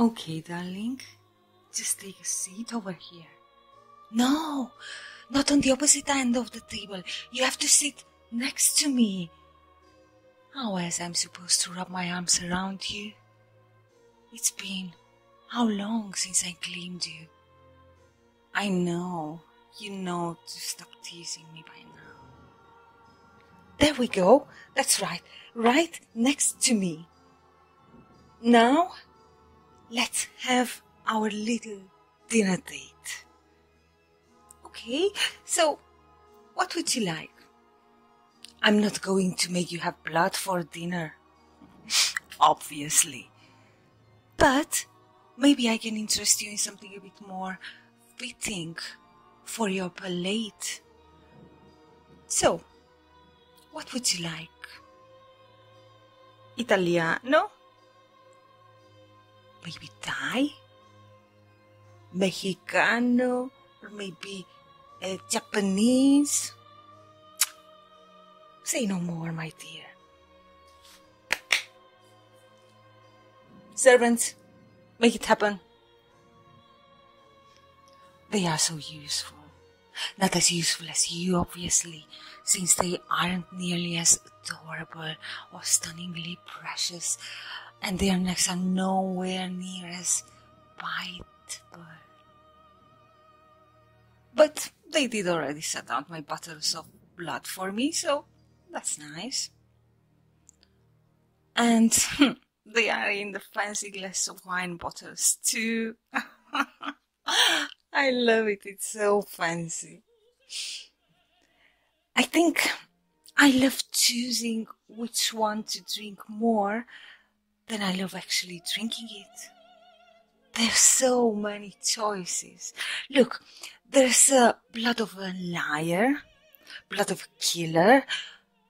Okay, darling. Just take a seat over here. No, not on the opposite end of the table. You have to sit next to me. How else am I supposed to wrap my arms around you? It's been how long since I claimed you? I know, you know to stop teasing me by now. There we go, that's right, right next to me. Now, let's have our little dinner date. Okay, so what would you like? I'm not going to make you have blood for dinner. Obviously. But maybe I can interest you in something a bit more fitting for your palate. So, what would you like? Italiano? Maybe Thai? Mexicano? or maybe a eh, Japanese. Say no more, my dear. Servants, make it happen. They are so useful. Not as useful as you, obviously, since they aren't nearly as adorable or stunningly precious and their necks are nowhere near as biteable. But they did already set out my bottles of blood for me, so that's nice. And they are in the fancy glass of wine bottles too. I love it, it's so fancy. I think I love choosing which one to drink more, then I love actually drinking it. There's so many choices. Look, there's uh, blood of a liar, blood of a killer,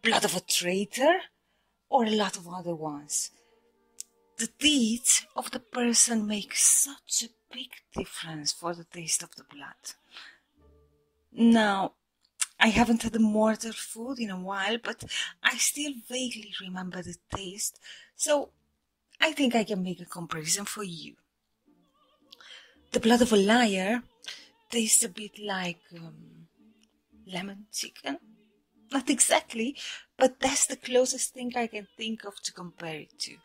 blood of a traitor, or a lot of other ones. The deeds of the person make such a big difference for the taste of the blood. Now, I haven't had mortar food in a while, but I still vaguely remember the taste, so I think I can make a comparison for you. The blood of a liar tastes a bit like um, lemon chicken. Not exactly, but that's the closest thing I can think of to compare it to.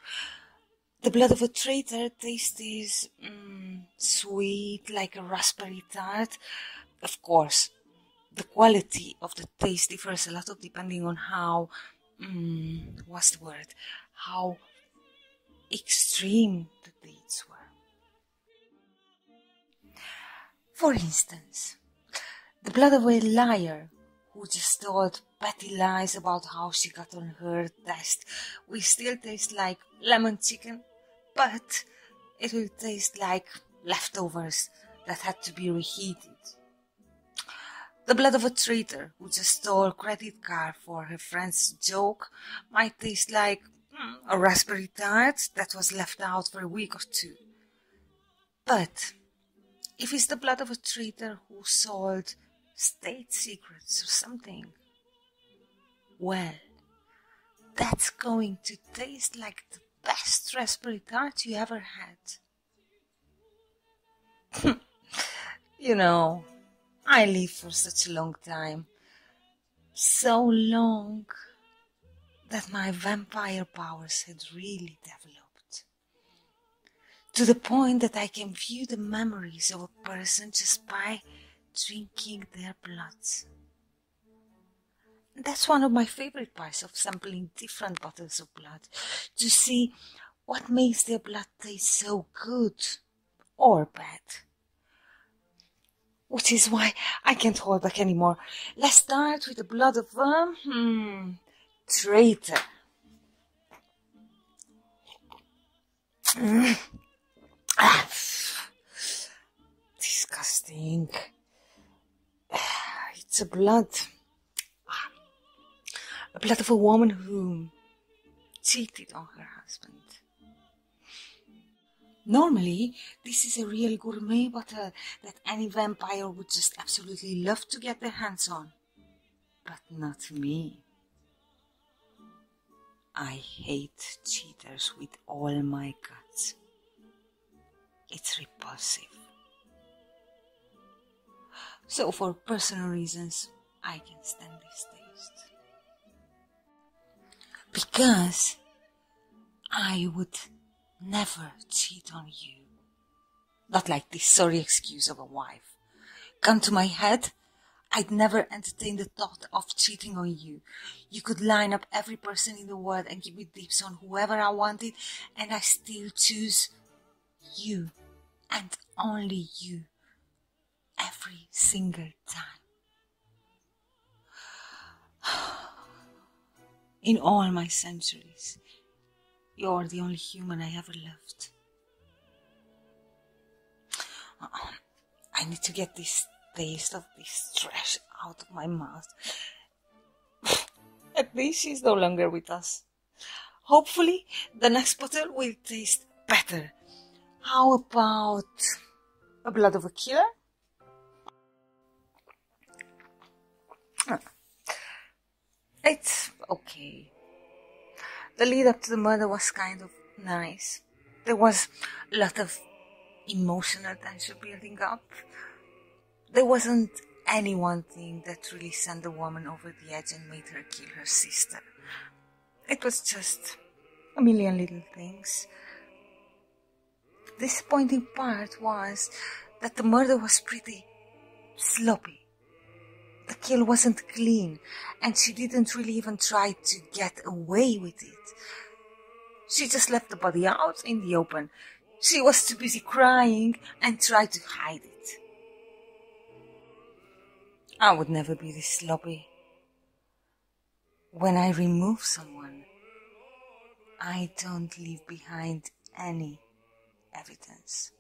The blood of a traitor tastes is mm, sweet like a raspberry tart. Of course, the quality of the taste differs a lot depending on how um, what's the word how extreme the dates were. For instance, the blood of a liar who just told petty lies about how she got on her test we still taste like lemon chicken but it will taste like leftovers that had to be reheated. The blood of a traitor who just stole a credit card for her friend's joke might taste like hmm, a raspberry tart that was left out for a week or two. But if it's the blood of a traitor who sold state secrets or something, well, that's going to taste like the best raspberry tart you ever had. you know, I lived for such a long time. So long that my vampire powers had really developed. To the point that I can view the memories of a person just by drinking their blood. That's one of my favorite parts of sampling different bottles of blood to see what makes their blood taste so good or bad. Which is why I can't hold back anymore. Let's start with the blood of a um, hmm, traitor. Disgusting. It's a blood. A blood woman who cheated on her husband. Normally, this is a real gourmet bottle that any vampire would just absolutely love to get their hands on. But not me. I hate cheaters with all my guts. It's repulsive. So, for personal reasons, I can stand this taste. Because I would never cheat on you. Not like this sorry excuse of a wife. Come to my head I'd never entertain the thought of cheating on you. You could line up every person in the world and give me deeps on whoever I wanted, and I still choose you and only you every single time. In all my centuries, you're the only human I ever loved. Uh-uh. I need to get this taste of this trash out of my mouth. At least she's no longer with us. Hopefully, the next bottle will taste better. How about a blood of a killer? It's okay. The lead up to the murder was kind of nice there was a lot of emotional tension building up. There wasn't any one thing that really sent the woman over the edge and made her kill her sister. It was just a million little things. The disappointing part was that the murder was pretty sloppy the kill wasn't clean, and she didn't really even try to get away with it. She just left the body out in the open. She was too busy crying and tried to hide it. I would never be this sloppy. When I remove someone, I don't leave behind any evidence.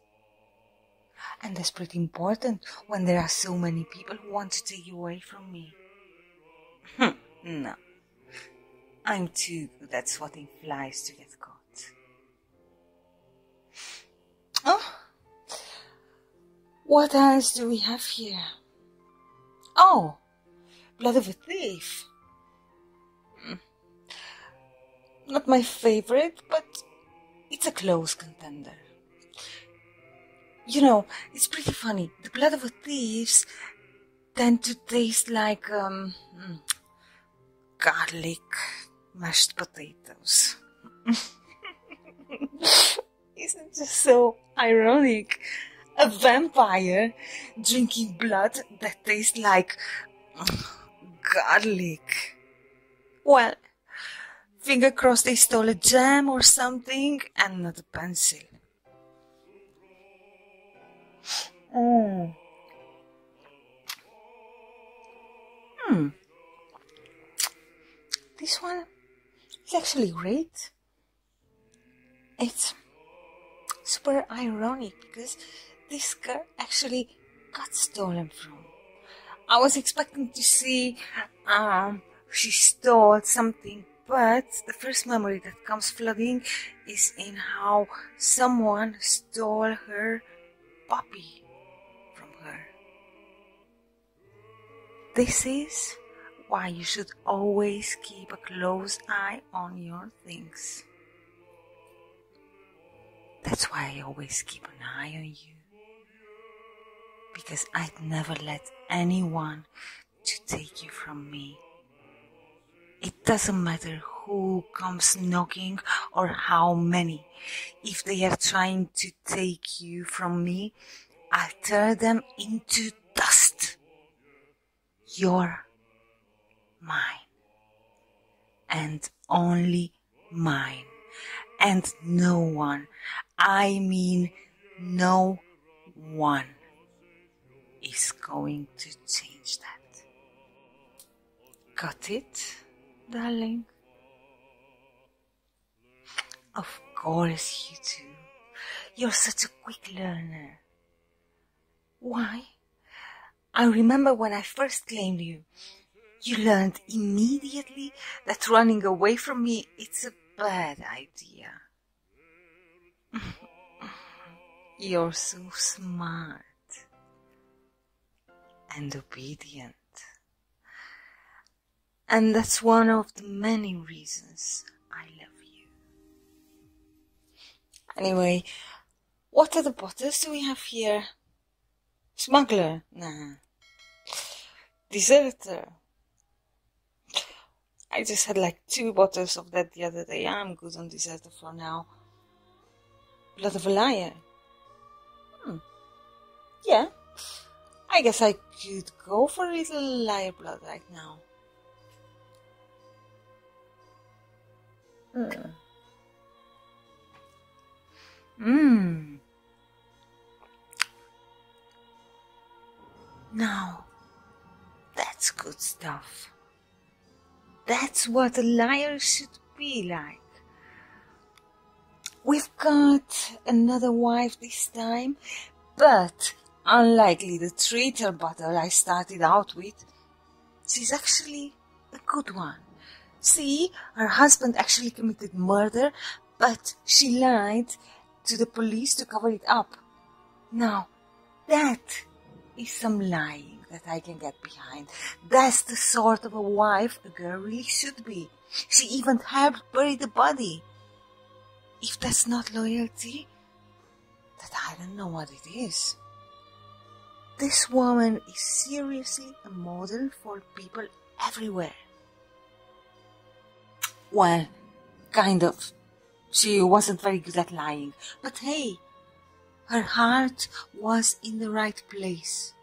And that's pretty important when there are so many people who want to take you away from me. Hmm, no. I'm too good at swatting flies to get caught. Oh. What else do we have here? Oh, Blood of a Thief. Hmm. Not my favorite, but it's a close contender. You know, it's pretty funny. The blood of thieves tend to taste like um, hmm, garlic mashed potatoes. Isn't it just so ironic? A vampire drinking blood that tastes like um, garlic. Well, Finger crossed they stole a gem or something and not a pencil. Mm. Hmm. This one is actually great. It's super ironic because this girl actually got stolen from. I was expecting to see um, she stole something. But the first memory that comes flooding is in how someone stole her puppy from her. This is why you should always keep a close eye on your things. That's why I always keep an eye on you because I'd never let anyone to take you from me. It doesn't matter who comes knocking or how many. If they are trying to take you from me, I'll tear them into dust. You're mine. And only mine. And no one, I mean no one, is going to change that. Got it, darling? Of course you do. You're such a quick learner. Why? I remember when I first claimed you. You learned immediately that running away from me it's a bad idea. You're so smart and obedient. And that's one of the many reasons I love you. Anyway, what are the bottles do we have here? Smuggler? Nah. Deserter? I just had like two bottles of that the other day. I'm good on deserter for now. Blood of a liar? Hmm. Yeah. I guess I could go for a little liar blood right now. Hmm. Mmm. Now, that's good stuff. That's what a liar should be like. We've got another wife this time, but unlikely the traitor battle I started out with, she's actually a good one. See, her husband actually committed murder, but she lied to the police to cover it up. Now, that is some lying that I can get behind. That's the sort of a wife a girl really should be. She even helped bury the body. If that's not loyalty, then I don't know what it is. This woman is seriously a model for people everywhere. Well, kind of. She wasn't very good at lying, but hey, her heart was in the right place.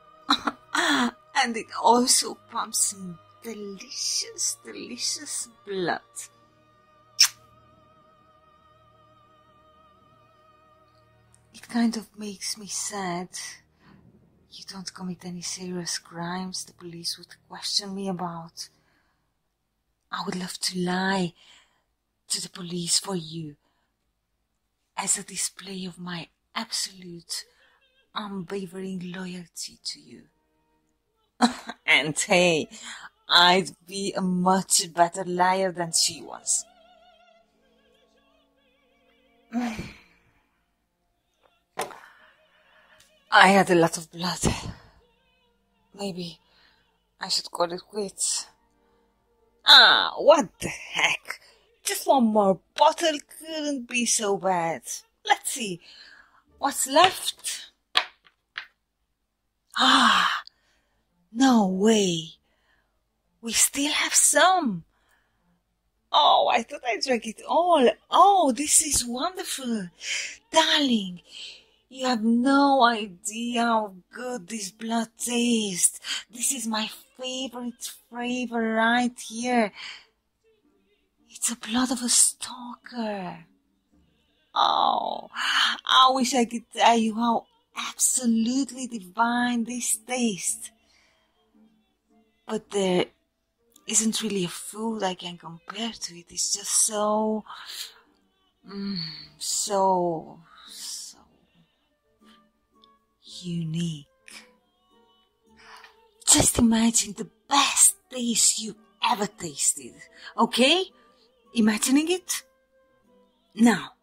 and it also pumps delicious, delicious blood. It kind of makes me sad. You don't commit any serious crimes the police would question me about. I would love to lie to the police for you as a display of my absolute, unwavering loyalty to you. and hey, I'd be a much better liar than she was. I had a lot of blood. Maybe I should call it quits. Ah, what the heck? Just one more bottle couldn't be so bad. Let's see. What's left? Ah, no way. We still have some. Oh, I thought I drank it all. Oh, this is wonderful. Darling, you have no idea how good this blood tastes. This is my favorite flavor right here. It's the blood of a stalker. Oh, I wish I could tell you how absolutely divine, this taste. But there isn't really a food I can compare to it. It's just so, mm, so, so unique. Just imagine the best taste you ever tasted, okay? Imagining it? Now,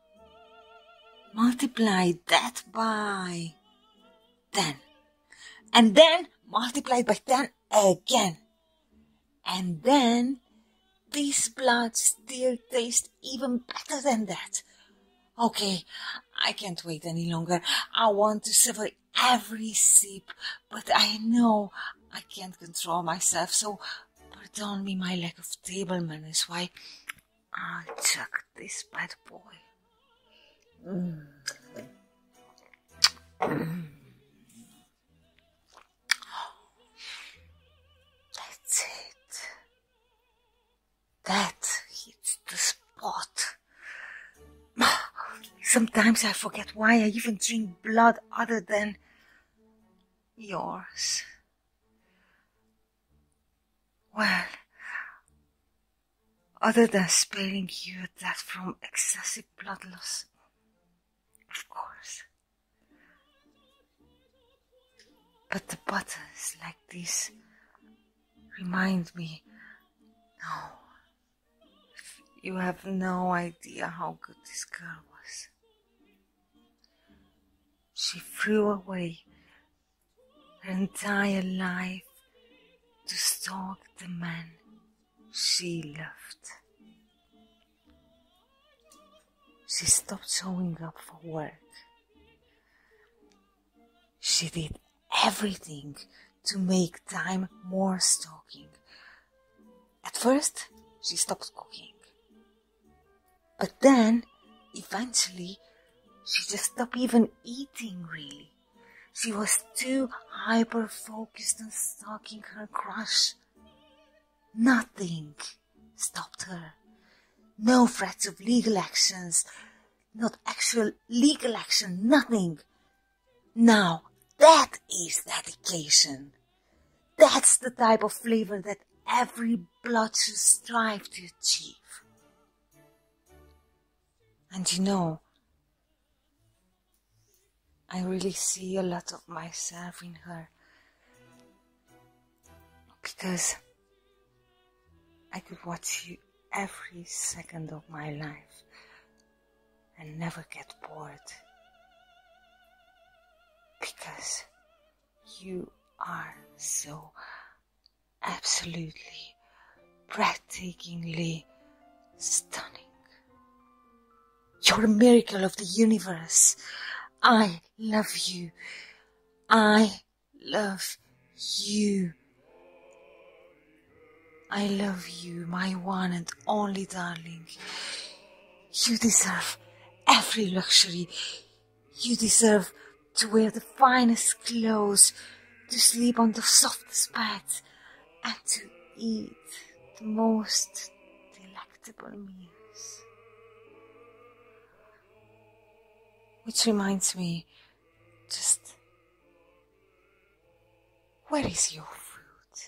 multiply that by 10. And then multiply by 10 again. And then this blood still tastes even better than that. Okay, I can't wait any longer. I want to savor every sip, but I know I can't control myself, so pardon me my lack of table manners. Why, I'll chuck this bad boy. That's it. That hits the spot. Sometimes I forget why I even drink blood other than yours. Well, other than sparing you that from excessive blood loss, of course. But the buttons like this remind me, no, you have no idea how good this girl was she threw away her entire life to stalk the man she loved. She stopped showing up for work. She did everything to make time more stalking. At first, she stopped cooking. But then, eventually, she just stopped even eating really. She was too hyper focused on stalking her crush. Nothing stopped her. No threats of legal actions, not actual legal action, nothing. Now, that is dedication. That's the type of flavor that every blood should strive to achieve. And you know, I really see a lot of myself in her because I could watch you every second of my life and never get bored because you are so absolutely, breathtakingly stunning. You're a miracle of the universe. I love you. I love you. I love you, my one and only darling. You deserve every luxury. You deserve to wear the finest clothes, to sleep on the softest beds, and to eat the most delectable meals. Which reminds me, just where is your food?